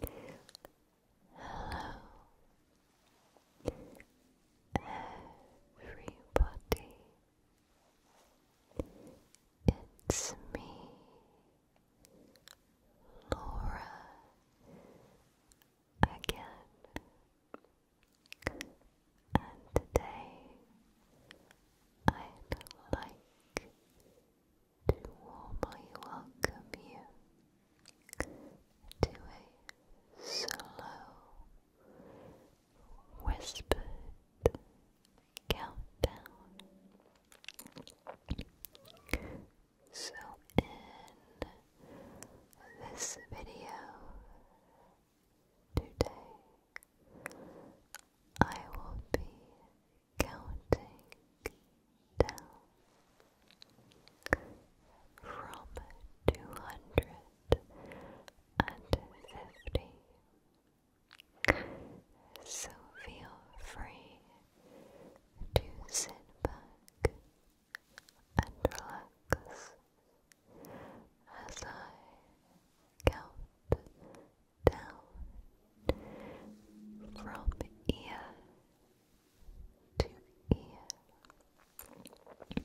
Hello, everybody. It's me, Laura, again, and today I'd like to warmly welcome you to a slow, whispered countdown. So, in this video today, I will be counting down from two hundred and fifty. So feel free to sit back and relax as I count down from ear to ear. Two hundred and fifty.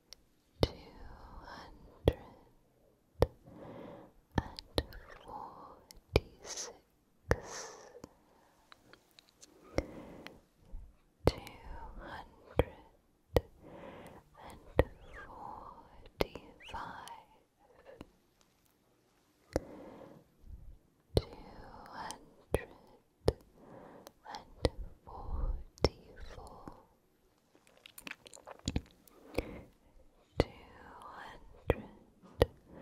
two hundred and forty-six, two hundred and forty-five, two hundred and forty-four, two hundred and forty-three, two hundred and forty-two.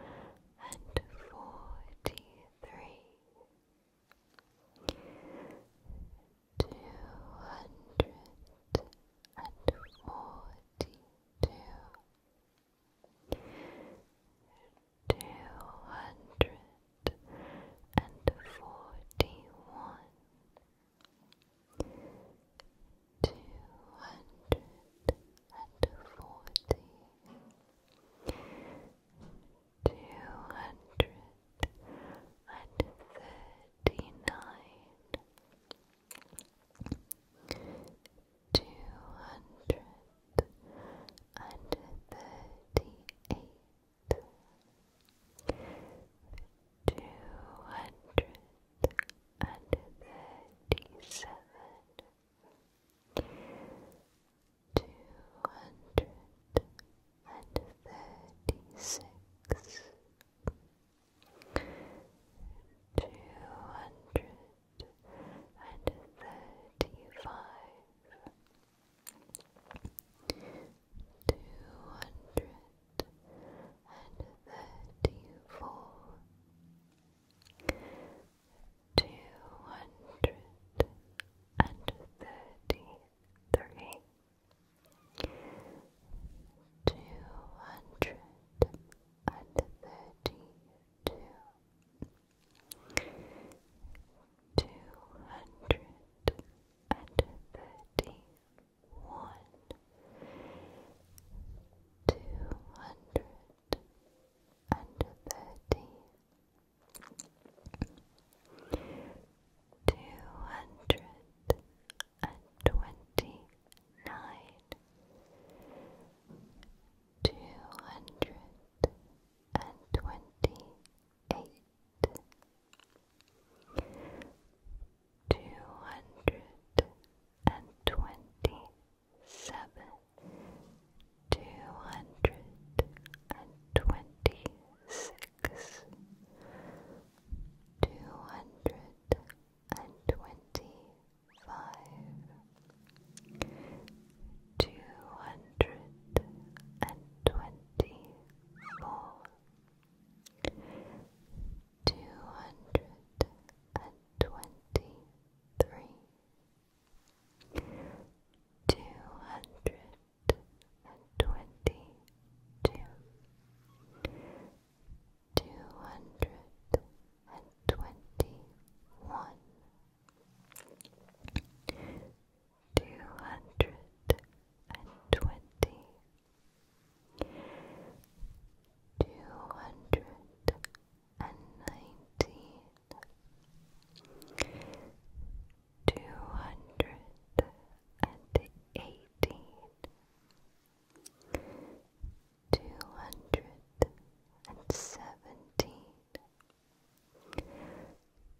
Two hundred and forty one, two hundred and forty, two hundred and thirty nine. Two hundred and thirty eight, two hundred and thirty-seven, two hundred and thirty-six, two hundred and thirty-five two hundred and thirty-four, two hundred and thirty-three, two hundred and thirty-two. Two hundred and thirty-one, two hundred and thirty, two hundred and twenty-nine, two hundred and twenty-eight two hundred and twenty seven, two hundred and twenty six, two hundred and twenty five, two hundred and twenty four, two hundred and twenty-three, two hundred and twenty-two, two hundred and twenty-one two hundred and twenty, two hundred and nineteen, two hundred and eighteen, two hundred and seventeen.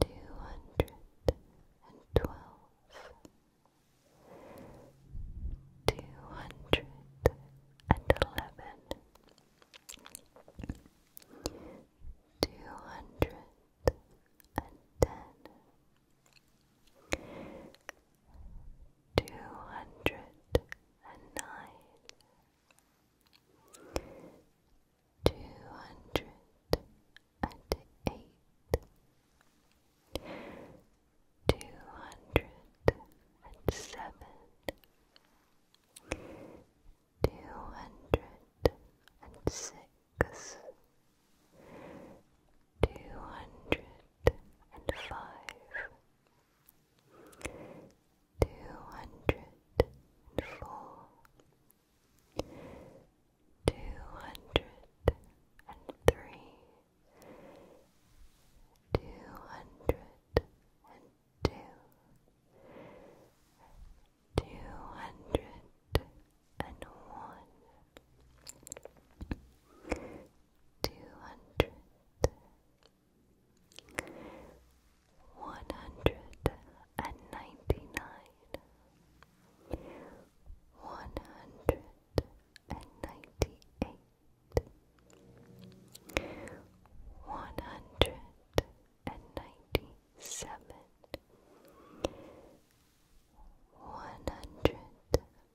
two hundred and twelve, two hundred and eleven, two hundred and ten, two hundred and nine two hundred and eight, two hundred and seven, two hundred and six, two hundred and five. Two hundred and four, two hundred and three, two hundred and two, two hundred and one, two hundred. One hundred and ninety nine, one hundred and ninety eight, one hundred and ninety seven, one hundred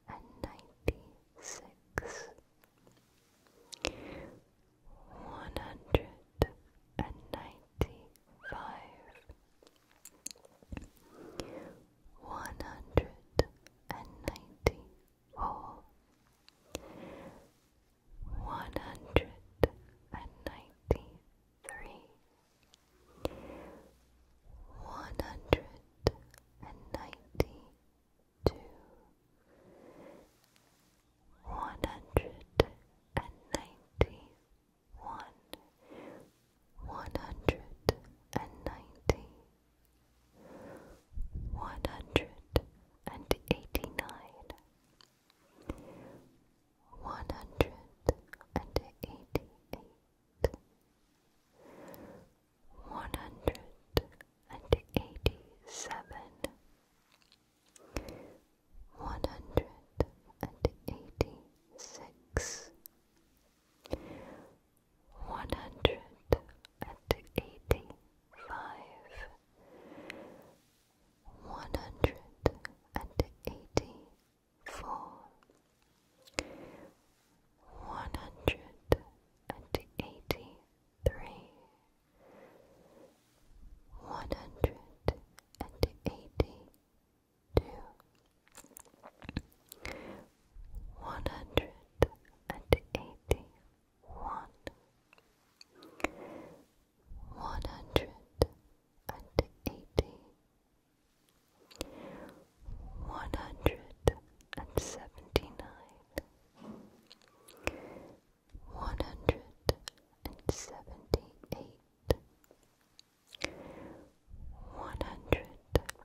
and ninety six. One hundred and ninety five, one hundred and ninety four, one hundred and ninety three, one hundred and ninety two. One hundred and ninety one, one hundred and ninety, one hundred and eighty nine, one hundred and eighty eight, one hundred and eighty seven one hundred and eighty six, one hundred and eighty five, one hundred and eighty four, one hundred and eighty three. One hundred and eighty to one hundred and eighty one, one hundred and eighty, one hundred and seventy nine, one hundred and seventy eight. 179 one hundred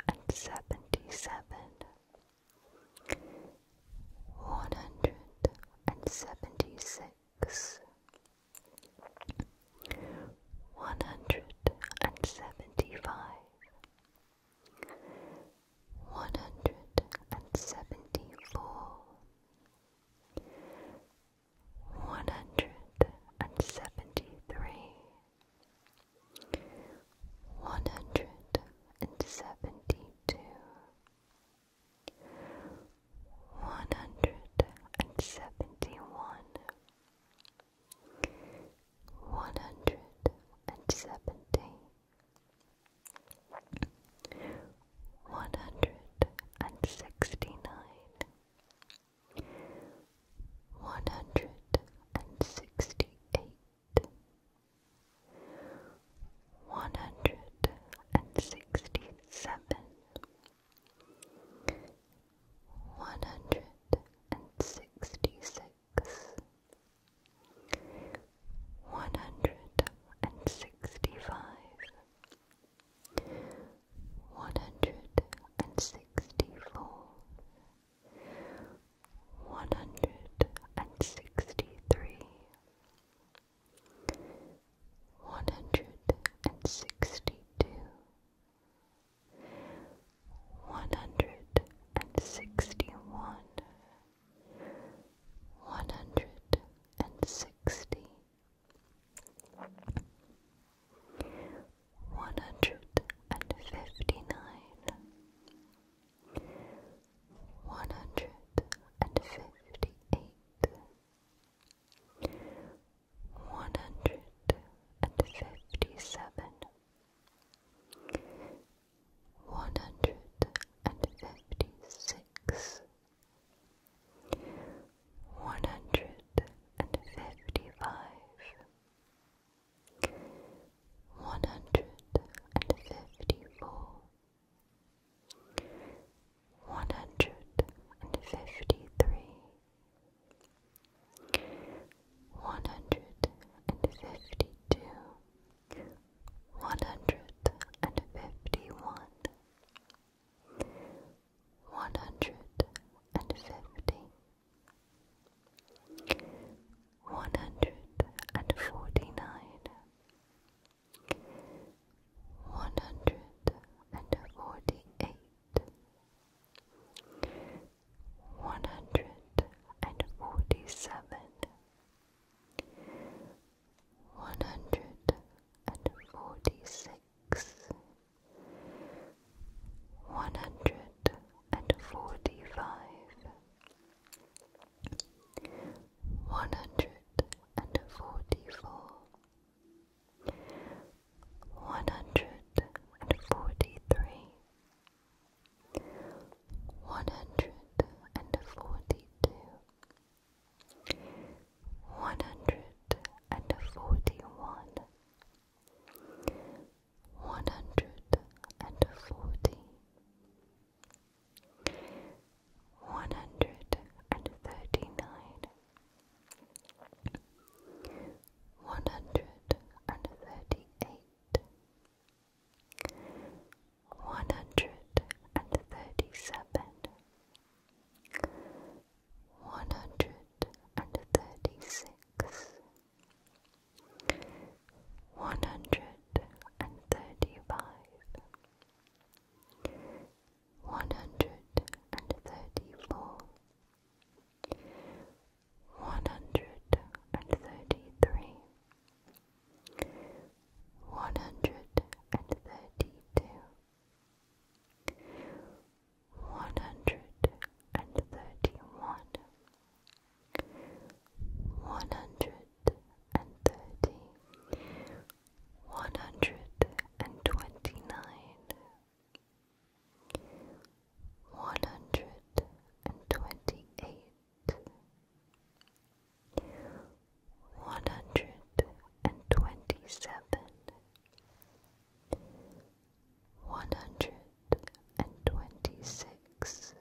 and seventy seven, one hundred and seventy six, one hundred and seventy five, one hundred and seventy four one hundred and seventy three, one hundred and seventy two, one hundred and seventy one, one hundred and seventy. One hundred and sixty nine, one hundred and sixty eight, one hundred and sixty seven, one hundred and sixty six, one hundred and sixty five one hundred and sixty four, one hundred and sixty three, one hundred and sixty two, one hundred and sixty one, one hundred and sixty one hundred and fifty nine, one hundred and fifty eight, one hundred and fifty seven. One hundred and fifty six, one hundred and fifty five, one hundred and fifty four, one hundred and fifty three, one hundred and fifty two, one hundred and fifty one. One hundred and fifty. One hundred and forty-nine. and forty nine, one hundred and forty eight, one hundred and forty seven. One hundred and forty six, one hundred and forty five, one hundred and forty four, one hundred and forty three, one hundred and forty two one hundred and forty one, one hundred and forty, one hundred and thirty nine. One hundred and thirty eight, one hundred and thirty seven, one hundred and thirty six, one hundred and thirty five, one hundred and thirty four, one hundred and thirty three. One hundred and thirty two, one hundred and thirty one, one hundred and thirty, one hundred and twenty nine, one hundred and twenty eight. One hundred and twenty seven, one hundred and twenty six,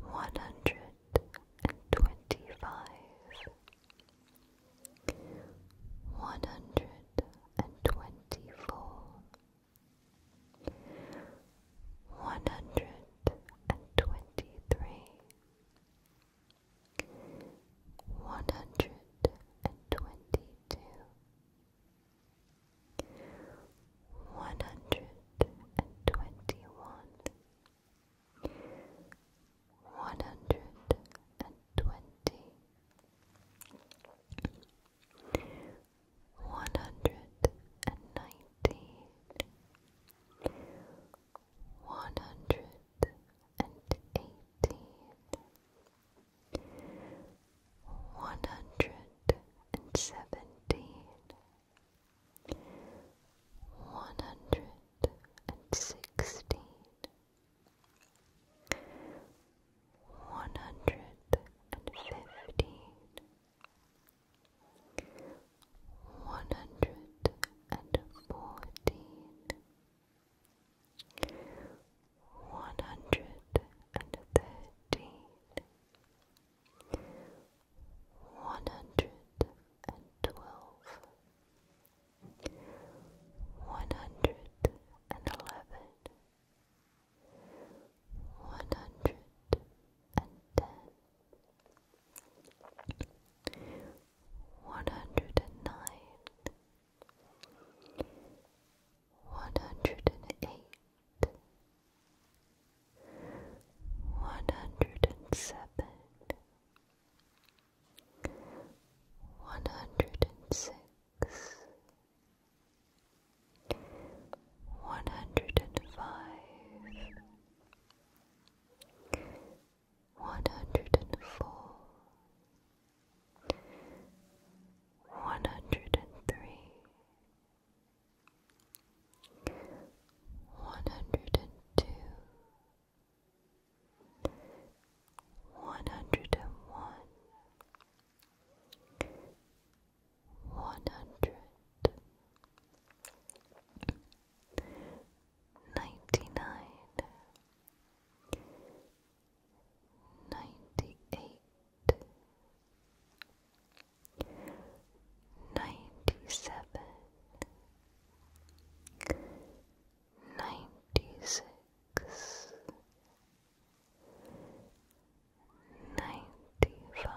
one hundred and twenty five, one hundred and twenty four. One hundred and twenty three, one hundred and twenty two, one hundred and twenty one, one hundred and twenty. One hundred and nineteen, one hundred and eighteen, one hundred and seventeen, one hundred and sixteen, one hundred and fifteen. One hundred and fourteen, one hundred and thirteen, one hundred and twelve, one hundred and eleven, one hundred and ten one hundred and nine, one hundred and eight, one hundred and seven, one hundred and six. One hundred and five, one hundred and four, one hundred and three, one hundred and two, one hundred and one, one hundred ninety-nine, ninety-eight, ninety-seven, ninety-six, ninety-five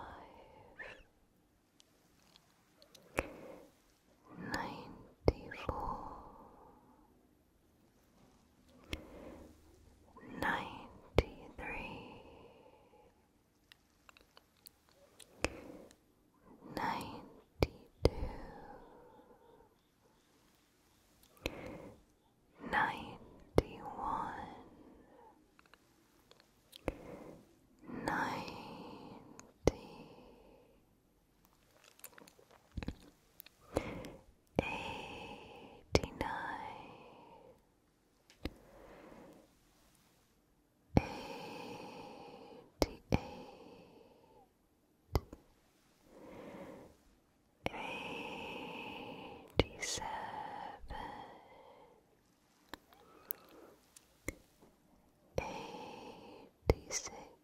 ninety four, ninety three, ninety two, ninety one, ninety. Eighty-nine, eighty-eight, eighty-seven, eighty-six.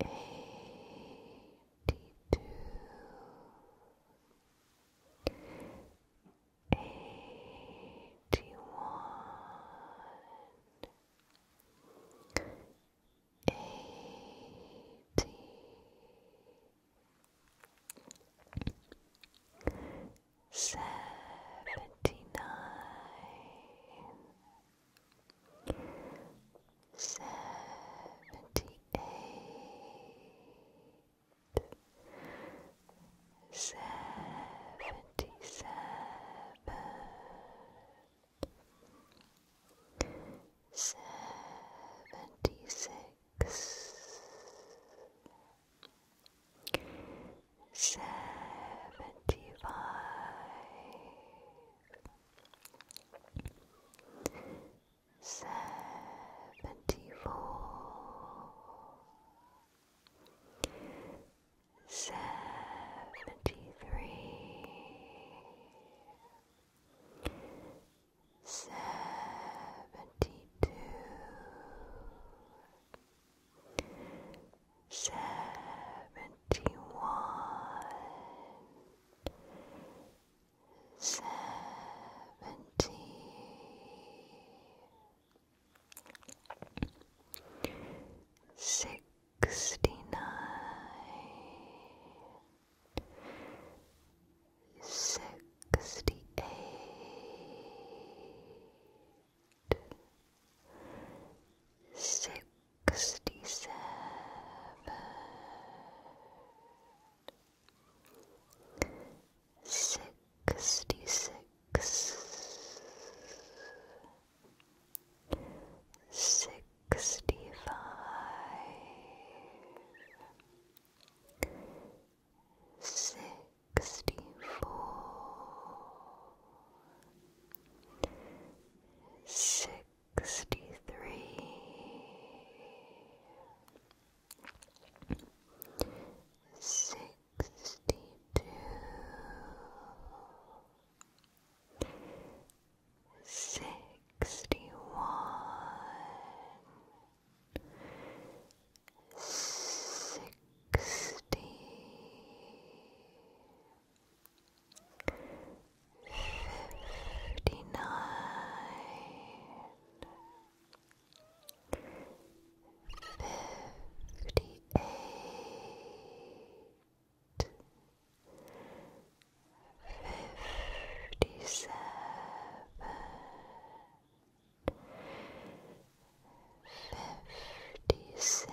eighty-two, eighty-one, eighty. Seventy nine, seventy-eight, seventy-seven, seventy-six, seventy-five seventy four, seventy three, seventy two seventy one, seventy sixty nine, sixty eight sixty seven, sixty six, sixty five, sixty four sixty three, sixty two, sixty one, sixty fifty nine, fifty eight, fifty seven. 56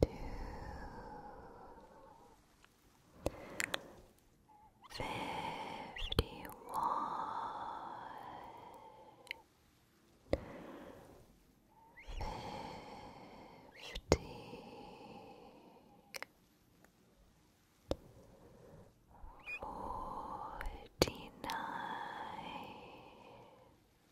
fifty one fifty forty nine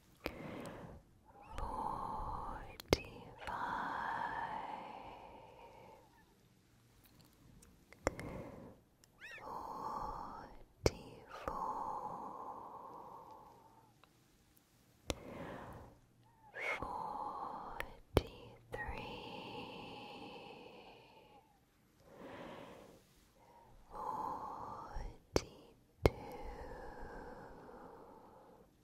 forty-five, forty-four, forty-three.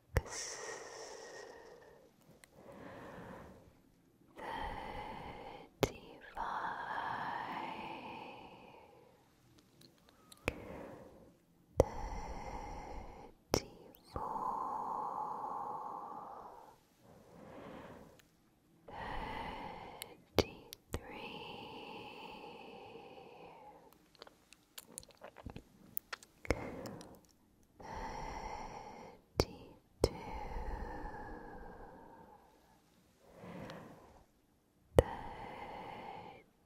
six, thirty-five, thirty-four, Thirty-three, thirty-two, thirty-one, thirty.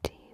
Thirty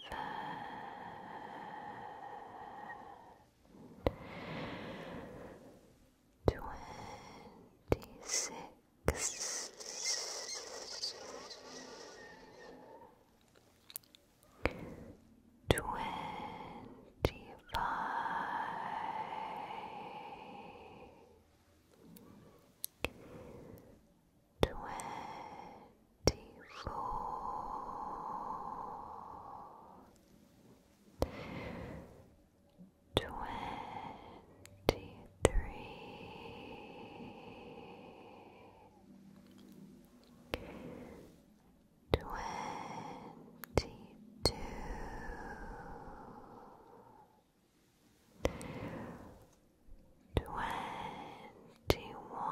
Twenty-six Twenty-five twenty-four, twenty-three, twenty-two. Twenty twenty one,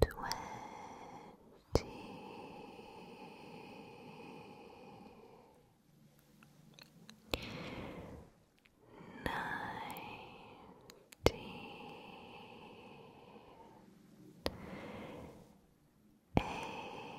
twenty nineteen. Eighteen,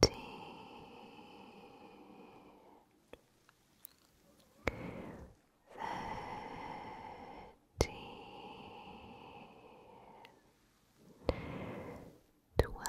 fourteen, thirteen, twelve, eleven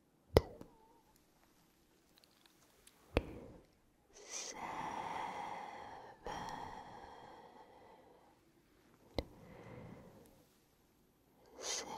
seven, six, five. Four,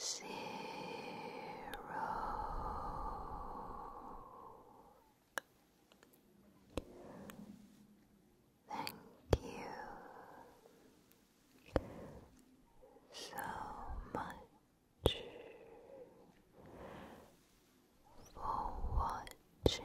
zero Thank you so much for watching.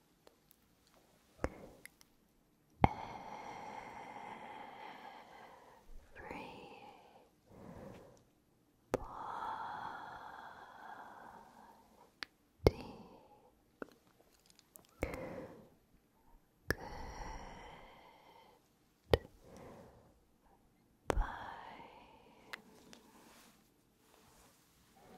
every body good